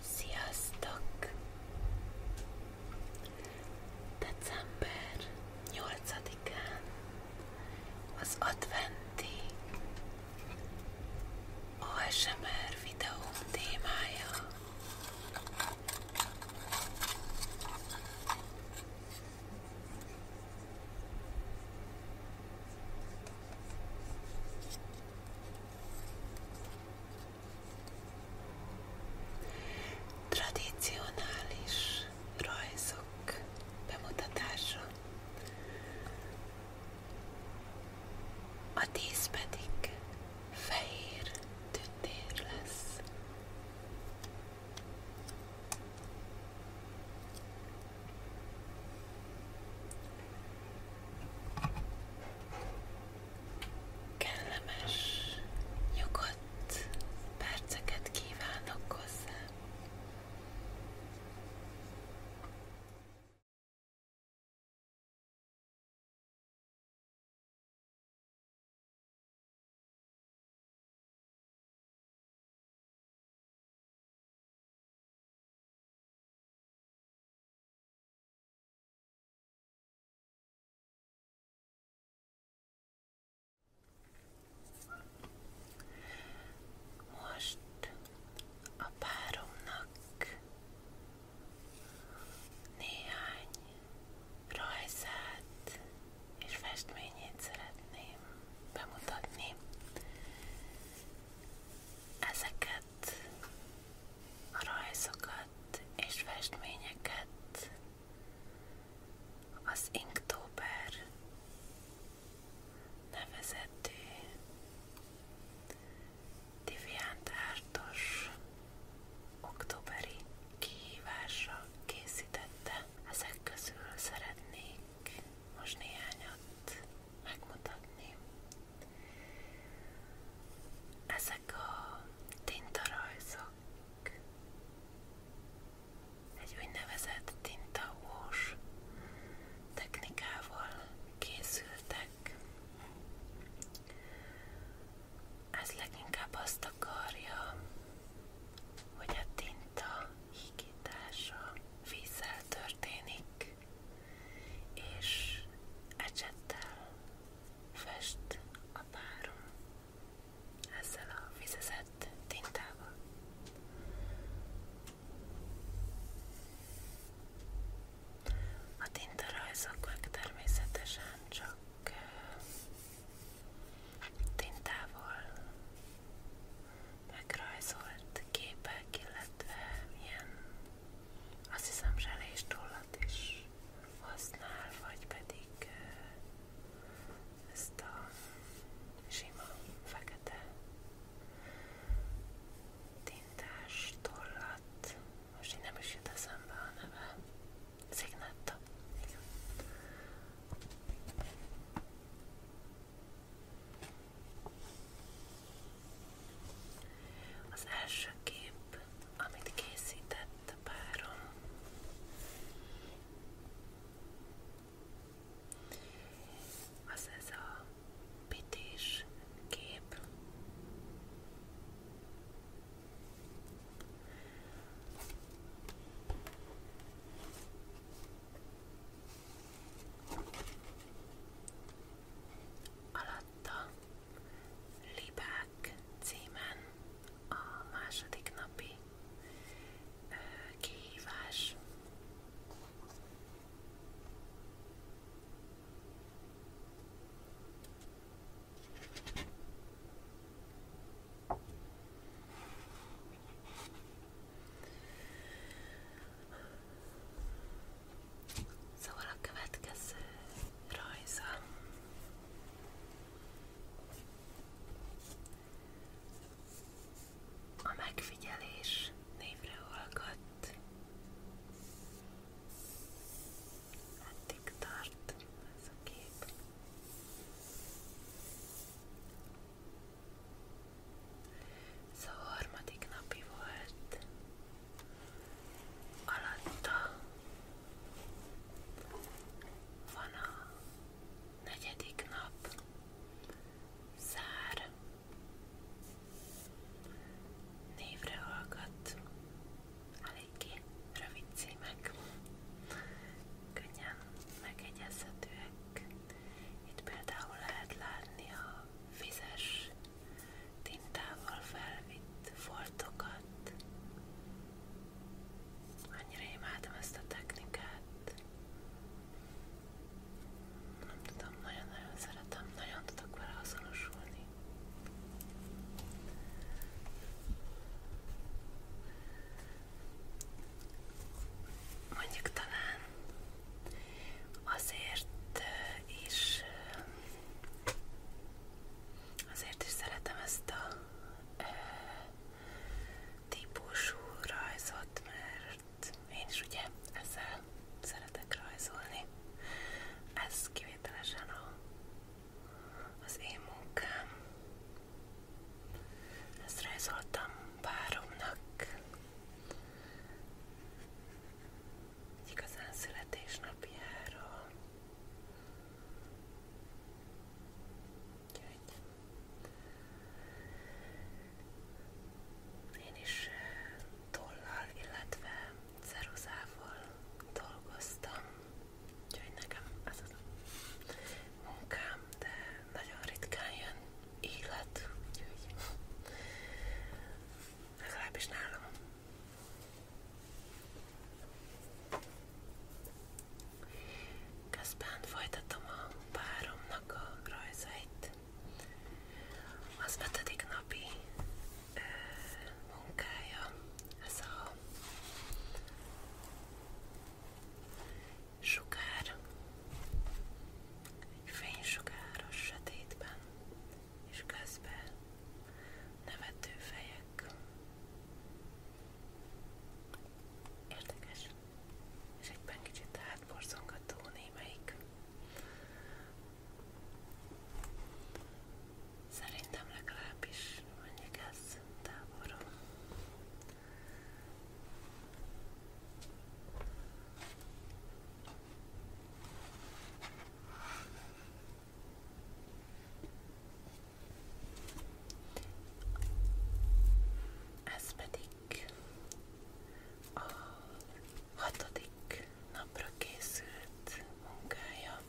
Sziasztok! December 8-án az adventi ASMR videóm témája Tradicionális rajzok bemutatása. A tíz pedig fehér tündér lesz. Kellemes, nyugodt perceket kívánok hozzá. Most a páromnak néhány rajzát és festményét szeretném bemutatni. Ezeket a rajzokat és festményeket az Inktober nevezetű Diviantártos októberi kihívásra készítette. Ezek közül szeretnék szeretnék most néhányat megmutatni. Ezek a tintarajzok, egy úgynevezett tintaós technikával készültek. Ez leginkább azt akarja, hogy a tinta megékítása vízzel történik, és ecsettel fest a párom ezzel a vizezett tintával. A tintarajzok meg természetesen csak tintával megrajzolt képek, illetve ilyen azt hiszem zselés tollat is használ, vagy pedig ezt a sima fekete tintás tollat, most így nem is jut eszembe a neve, Szignetta, igen. Az első kép, amit készített párom, az ez a pitis kép. Alatta Libák címen a második napi ö, kihívás. Szóval a következő rajza a megfigyelés névre hallgat. Eddig tart ez a kép. Ez a harmadik napi volt. Alatta van a negyedik nap. Szár. Névre hallgat. Eléggé rövid címek könnyen megegyezhetőek. Itt például lehet látni a vizes tintával felvitt foltokat. Annyira imádom ezt a technikát. Nem tudom, nagyon-nagyon szeretem, nagyon tudok vele azonosulni mondjuk talán azért is azért is szeretem ezt a ö, típusú rajzot, mert én is ugye ezzel szeretek rajzolni. Ez kivételesen a, az én munkám. Ezt rajzoltam páromnak egy igazán születésnapjára. Úgyhogy én is tollal, illetve ceruzával dolgoztam. Úgyhogy nekem ez az a munkám, de nagyon ritkán jön élet, úgyhogy legalábbis nálam. Közben folytatom a páromnak a rajzait. Az ötödik napi ö, munkája, ez a sugár, egy fénysugáros sötétben, és közben nevető fejek. Érdekes, és egyben kicsit átborzongató némelyik. Szerintem legalábbis és mondjuk ez távolról. Ez pedig a hatodik napra készült munkája,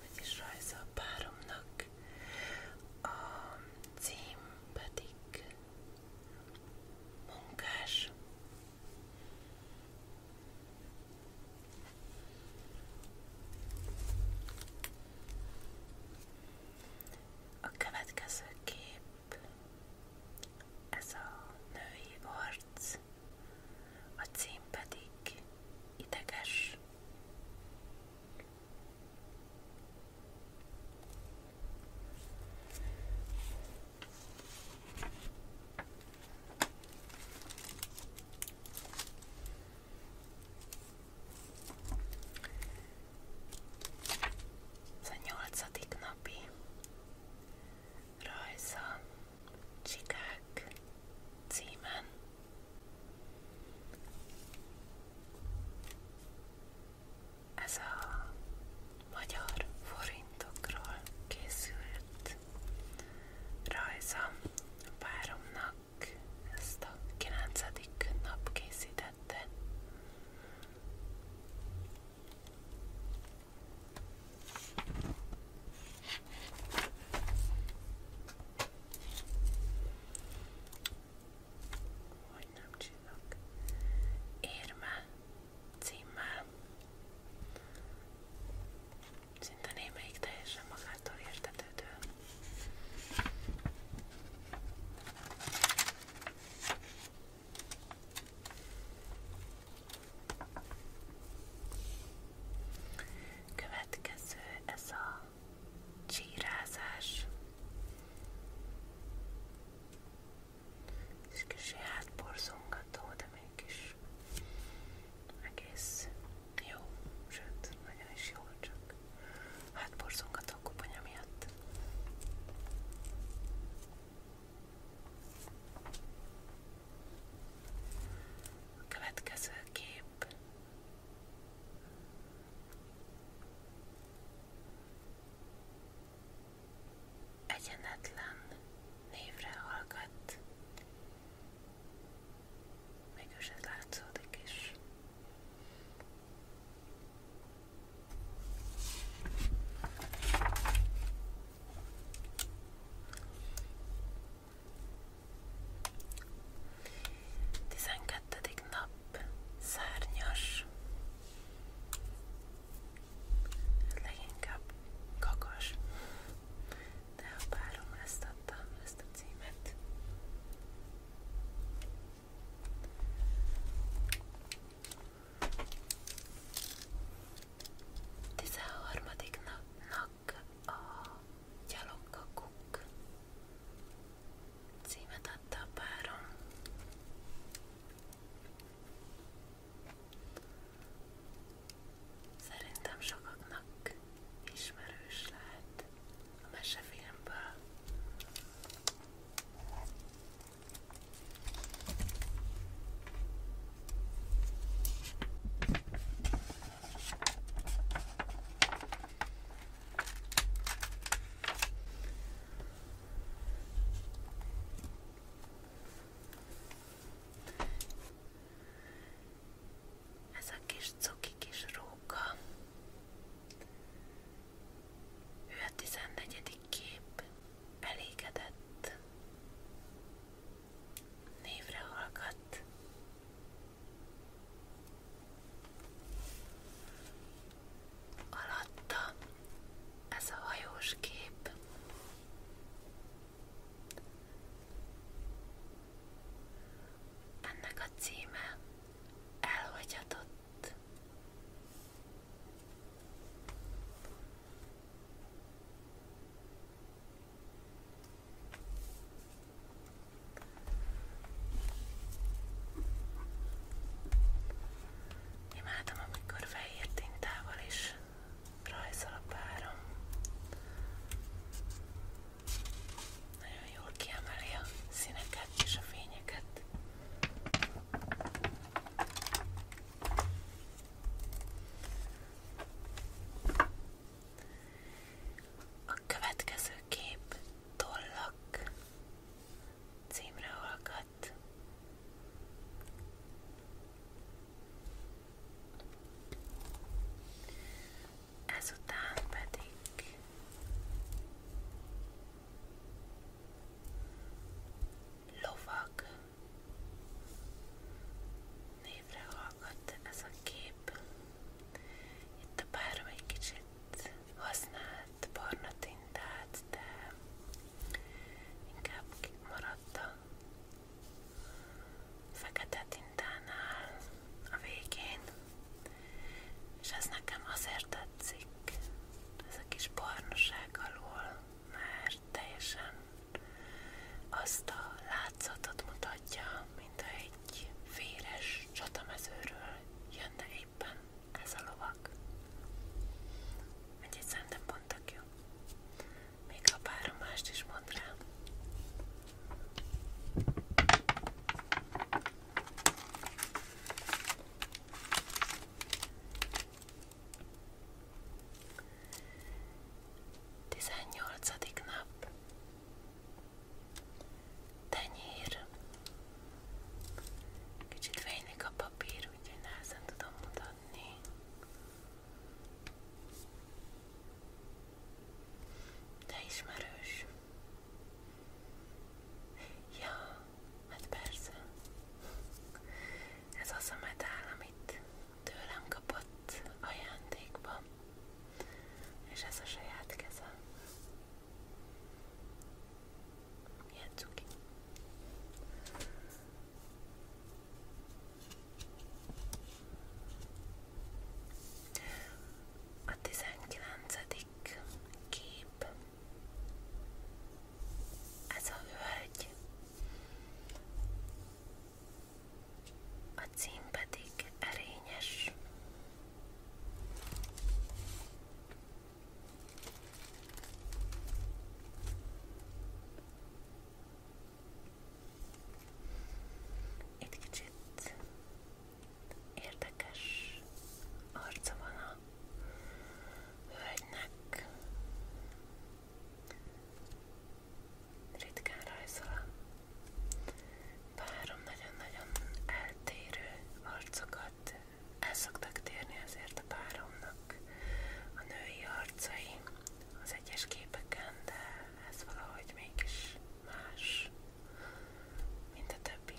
vagyis rajza páromnak a cím pedig munkás. A következő kép, ez a női arc, a cím pedig ideges. Ez a nyolcadik napi rajza Csikák címen. Ez a magyar forintokról készült rajzom páromnak ezt a 9. nap készítette. Hogy nem csinálok. Érme címmel. Szinte némelyik teljesen magától értetődő következő ez a csírázás és kicsi hátborzongató, de mégis egész jó, sőt, nagyon is jó, csak hátborzongató a kuponya miatt. Következő kép. Egyenetlen névre hallgat. Mégis ez látszódik is. Tizenkettedik nap szárnyas, leginkább kakas, de a párom ezt adta, ezt a címet. Tizenharmadik napnak a gyalogkakuk címet adta a párom. Szerintem sokaknak ismerős lehet a mesefilmből. Ez a kis cuki kis róka. Ő a 14. kép elégedett névre hallgat. Alatta ez a hajós kép. Ennek a címe elhagyatott. Imádom, amikor fehér tintával is rajzol a párom. Nagyon jól kiemeli a színeket és a fényeket. A következő kép tollak címre hallgat. Ezután pedig lovag névre hallgat ez a kép. Itt a párom egy kicsit használt barna tintát, de inkább maradt a fekete tintánál a végén, és ez nekem azért tetszik, ez a kis barnaság alól, mert teljesen azt a látszatot mutatja, mint egy véres csatamezőről jönne éppen ez a lovak. Egy szerintem pont tök jó. Még ha párom mást is mond rá. Tizennyolcadik nap Tenyér Kicsit fénylik a papír, úgyhogy nehezen tudom mutatni De ismerős Ja, hát persze ez az a medál, amit tőlem kapott ajándékba, és ez a saját kezem. Milyen cuki. A 19. kép. Ez a hölgy a cím pedig erényes. Itt kicsit érdekes arca van a hölgynek ritkán rajzol párom nagyon-nagyon eltérő arcokat el szoktak térni azért a páromnak a női arcai az egyes képeken, de ez valahogy mégis más, mint a többi.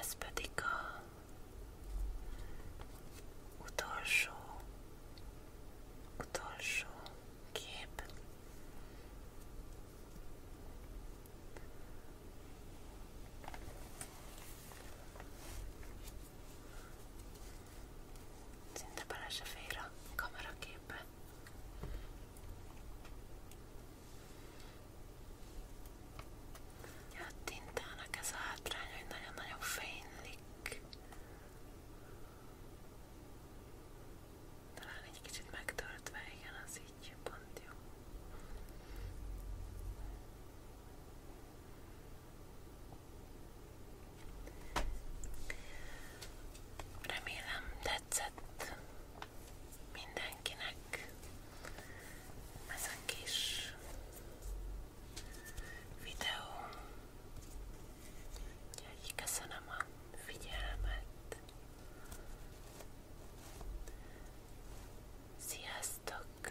Ez pedig a utolsó, utolsó kép. Szinte bele se fér a kameraképbe. Ja, hát a tintának ez a hátrány, hogy nagyon-nagyon fénylik. Talán egy kicsit megtöltve, igen, az így pont jó. Remélem tetszett mindenkinek ez a kis videó. Úgyhogy köszönöm a figyelmet. Sziasztok!